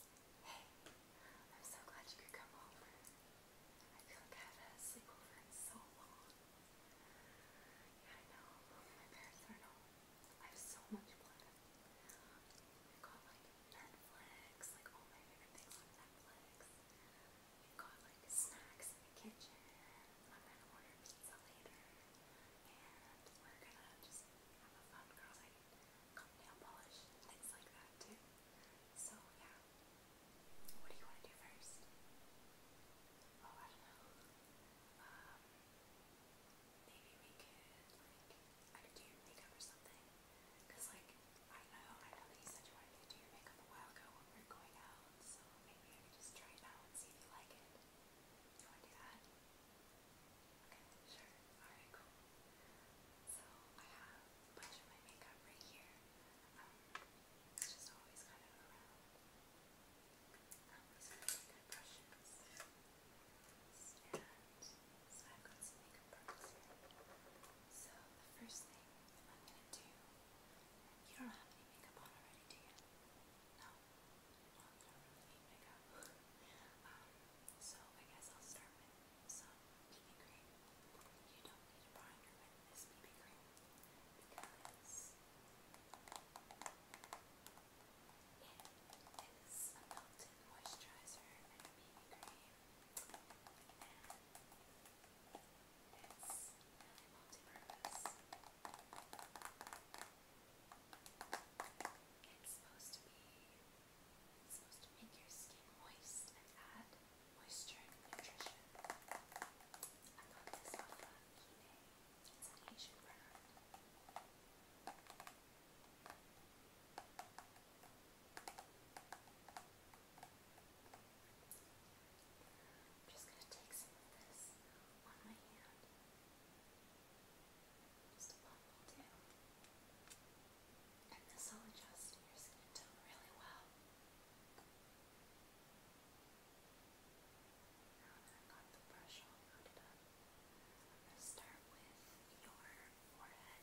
Hey, I'm so glad you could come over. I feel like I haven't had a so long. Yeah, I know. My parents are home. I have so much planned. we got like Netflix, like all my favorite things on Netflix. we got like snacks in the kitchen. I'm gonna order pizza later and we're gonna just have a fun curling, nail polish, things like that too. So yeah, what do you want to do first? Oh, I don't know. Um, maybe we could like I could do your makeup or something. Cause like I know, I know that you said you wanted to do your makeup a while ago when we were going out, so maybe I could just try it out and see if you like it. You wanna do that? So I have a bunch of my makeup right here. it's just always kind of around. Um, these are good brushes. And so i makeup products So the first thing I'm going to do, you don't have any makeup on already, do you? No? um, long really makeup. um, so I guess I'll start with some BB cream. You don't need a primer with this BB cream because it is a melted moisturizer and a BB cream. And it's really multi-purpose. It's supposed to be it's supposed to make your skin moist and add moisture and nutrition. I got this off of Kine. It's an Asian brand. I'm just going to take some of this on my hand. And this will adjust your skin tone really well. Now that I've got the brush all I'm going to start with your forehead.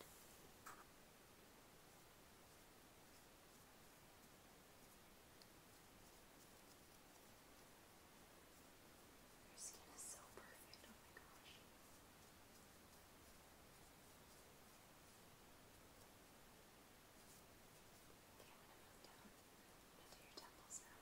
Your skin is so perfect, oh my gosh. Okay, I'm gonna move down. I'm gonna do your temples now.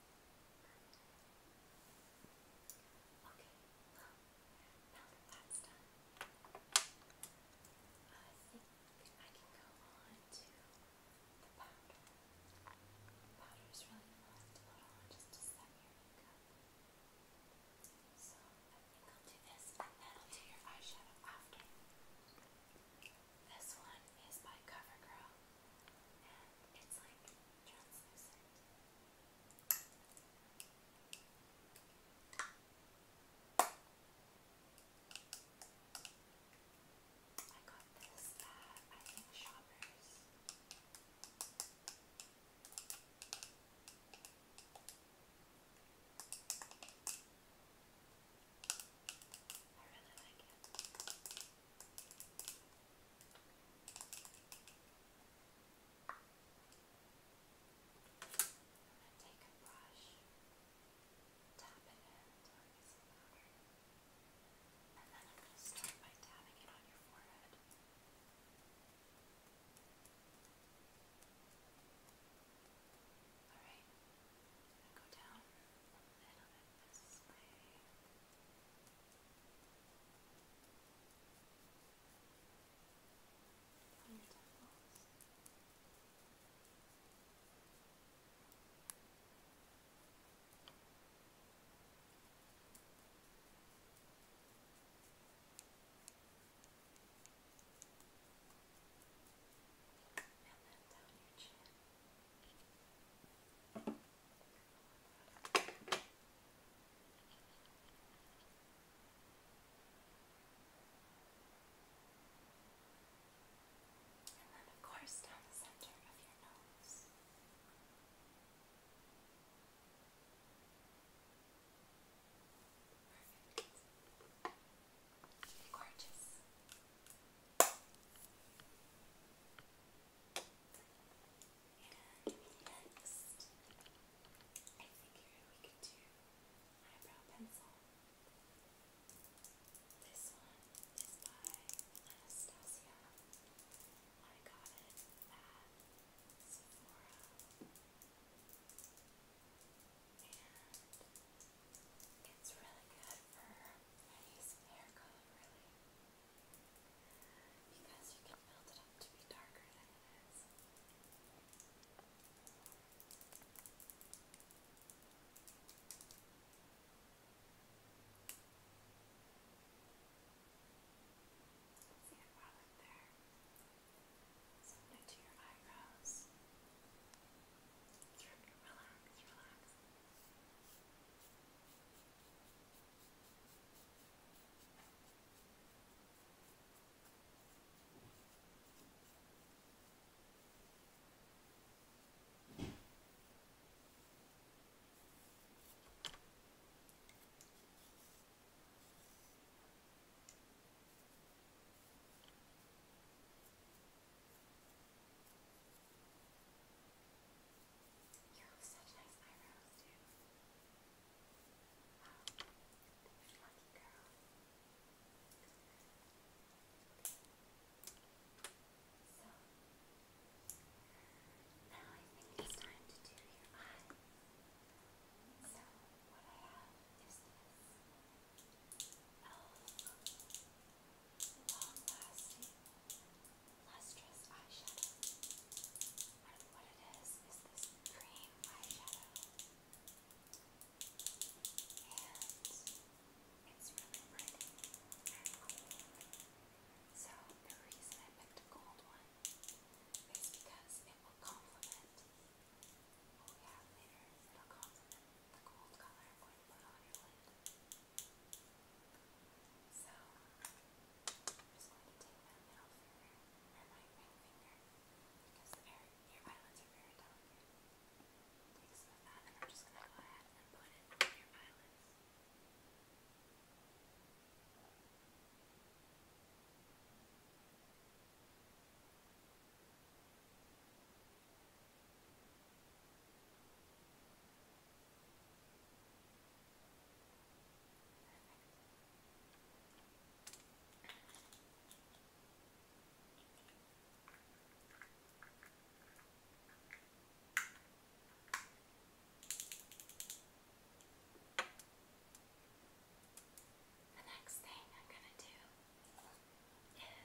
Okay, well, now that's done, I think I can go on to the powder. powder is really left to put just to set So I think I'll do this and then I'll do your eyeshadow after. This one is by CoverGirl it's like translucent. I got this at, I think, Shoppers. I really like it. I'm going to take a brush, tap it in until it gets some powder, and then I'm going to start by tapping it on your forehead. Alright, I'm going to go down a little bit this way. And on your down your chin. And then, of course, down the center of your nose. Perfect. Gorgeous. And next, I figured we could do eyebrow pencil. This one is by Anastasia. I got it at Sephora. And it's really good for any hair color, really. Because you can build it up to be darker than it is. See it there. Something to your eyebrows. Relax, relax. You have such nice eyebrows too. Lucky girl. So, now I think it's time to do your eye. So, what I have is this elf long lasting lustrous eyeshadow what, what it is is this cream eyeshadow, and it's really pretty and cool. So the reason I picked a gold one is because it will complement what we have later. It'll complement the gold color I'm going to put on your lid. So, I'm just going to take my middle finger, or my ring finger, because the air, your eyelids are very delicate. Take some of that, and I'm just going to go ahead and put it on your eyelids. Okay, the next thing I'm going to do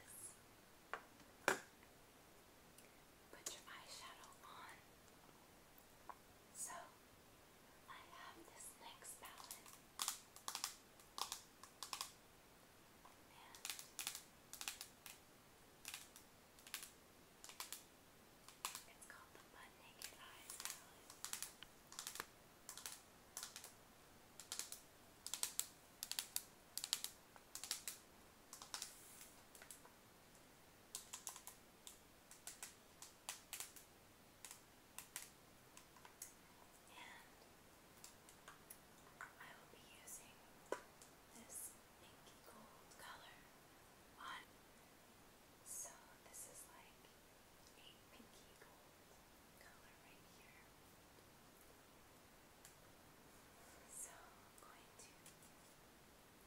is put your eyeshadow on. So I have this next palette, and it's called the Butt Naked Eyes palette. And I will be using this pinky gold color So this is like a pinky gold color right here. So I'm going to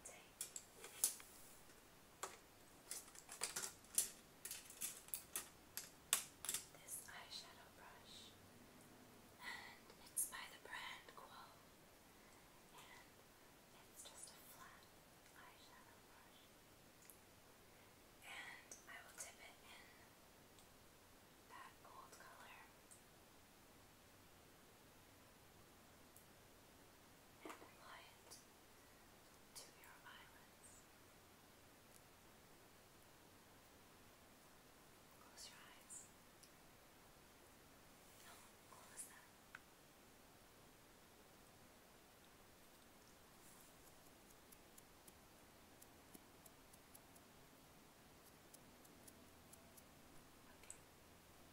take this eyeshadow brush, and it's by the brand Quo, and it's just a flat eyeshadow brush, and I will dip it in that gold color. And apply it to your eyelids. Close your eyes. No, close them.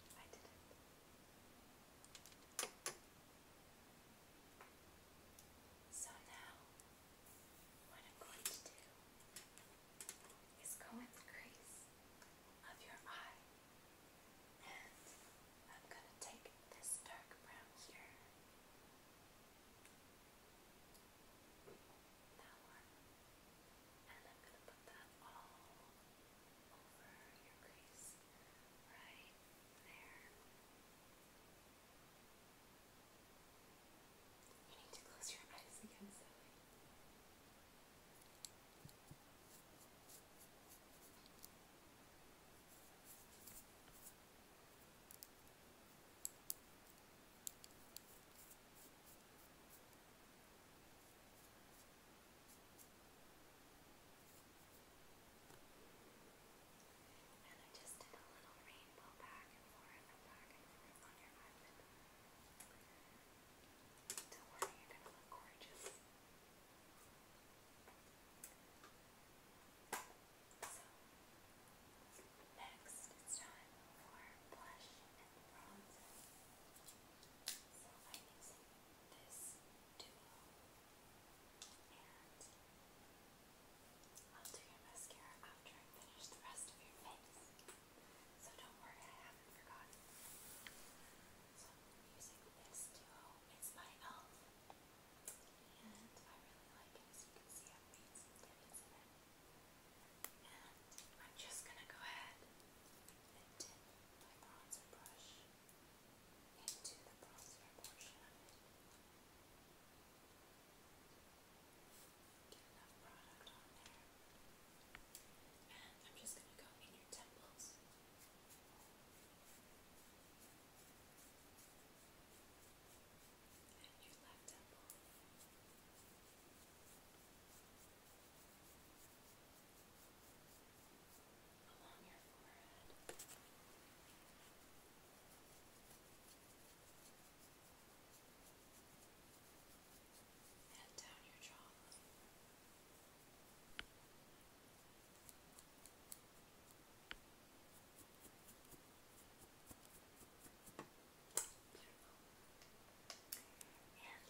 Okay, I did it. So now, what I'm going to do is go in the crease of your eye, and I'm going to take this dark brown here. That one. And I'm going to put that all over your crease right there. You need to close your eyes again, and I just did a little rainbow back and forth and back and forth on your eyelid. Don't you're gonna look gorgeous. next it's time for blush and bronzer. So I'm this duo and I'll do your mascara after I finish the rest of your face. So don't worry, I haven't forgotten. So I'm using this duo. It's by e.l.f. And I really like it. As you can see, I've made some ditties in it. And I'm just gonna go ahead and dip my bronzer brush into the bronzer portion of it. Get enough product on there. And I'm just going to go in your temples. And your left temple. And along your forehead. And down your jaw. And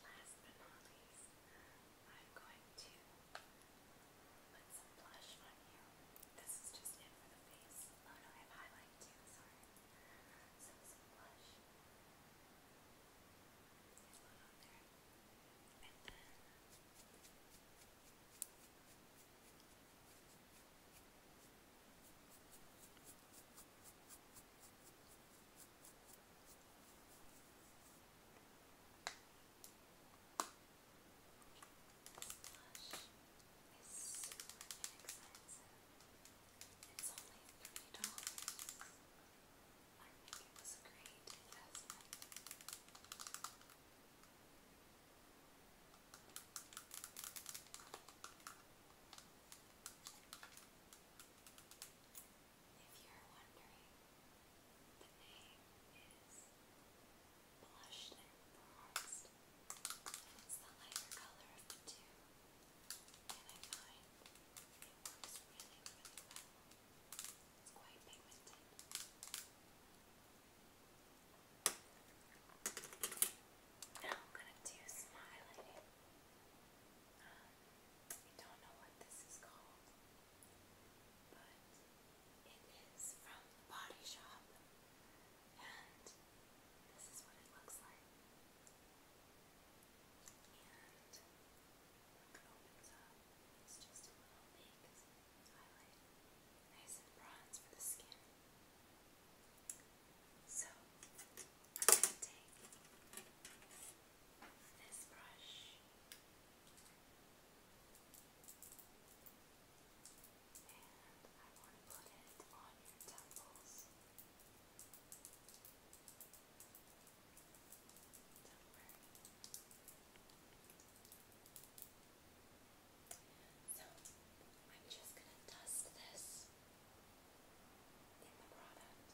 last but not least, I'm going to put some blush on you. This is just it for the face. Oh no, I have highlight too, sorry. So some blush. Just put on there. And then Okay. Slush is super inexpensive. It's only three dollars. I think it was a great investment. If you're wondering the name is Blushed and Bronzed, it's the lighter color of the two, and I find it works really, really It's quite pigmented. Now I'm gonna do smiling. Um, I don't know what this is called, but it is from the body shop, and this is what it looks like. And it opens up, it's just a little big nice and bronze for the skin. So take this brush and I want to put it on your temples. So, I'm just going to dust this in the product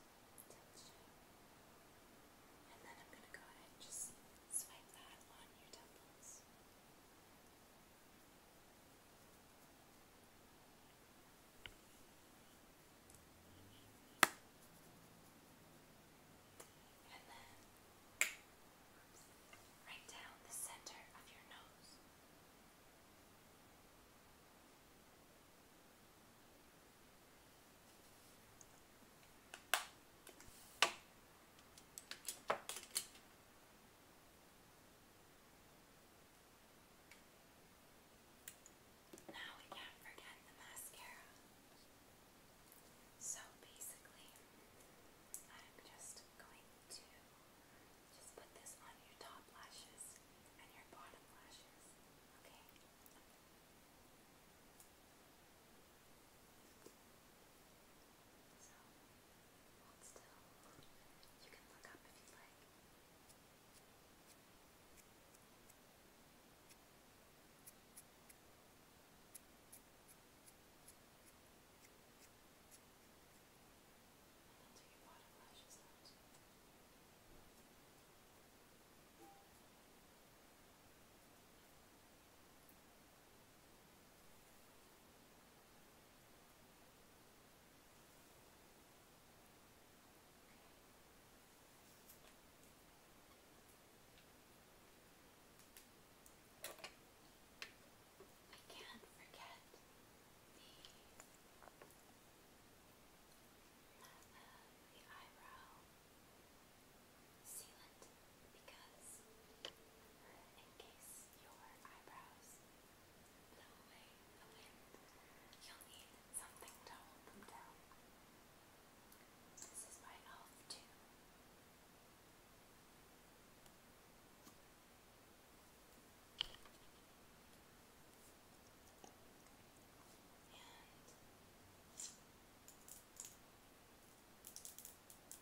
and then I'm going to go ahead and just swipe that on your temples. And then right down the center of your nose. And now we can't forget the mascara. So basically, I'm just going to just put this on your top lashes and your bottom lashes, okay? So, still. You can look up if you like. And until your bottom lashes out. Good. I can't forget the, uh, the eyebrow sealant because in case your eyebrows blow away the wind, you'll need something to hold them down. This is my elf too. We don't need much.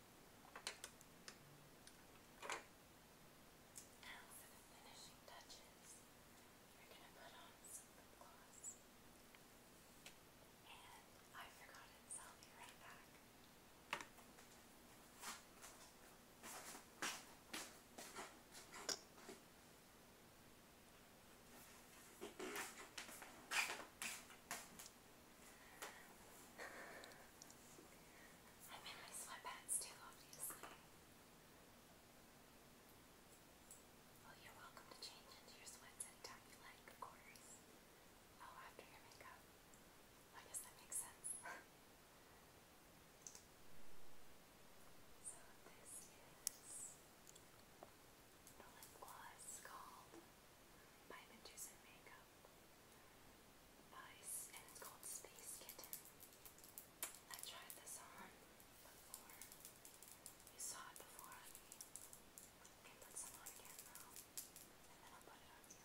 Now for the finishing touches, we're going to put on some lip gloss. And I forgot it, so I'll be right back. I'm in my sweatpants too, obviously. Well, you're welcome to change into your sweats anytime you like, of course. Oh, after your makeup. I guess that makes sense. so this is the lip gloss called by Medusa Makeup by and it's called Space Kitten. I tried this on before. You saw it before on me. I put some on again now, and then I'll put it on you.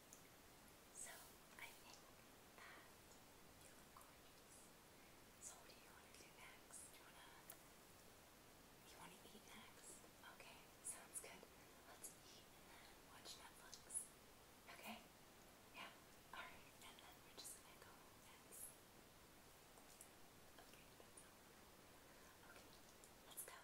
So I think that you look gorgeous. So what do you want to do next? You wanna eat next? Okay, sounds good. Let's eat watch Netflix. Okay? Yeah. Alright, and then we're just gonna go and Okay, Okay, let's go.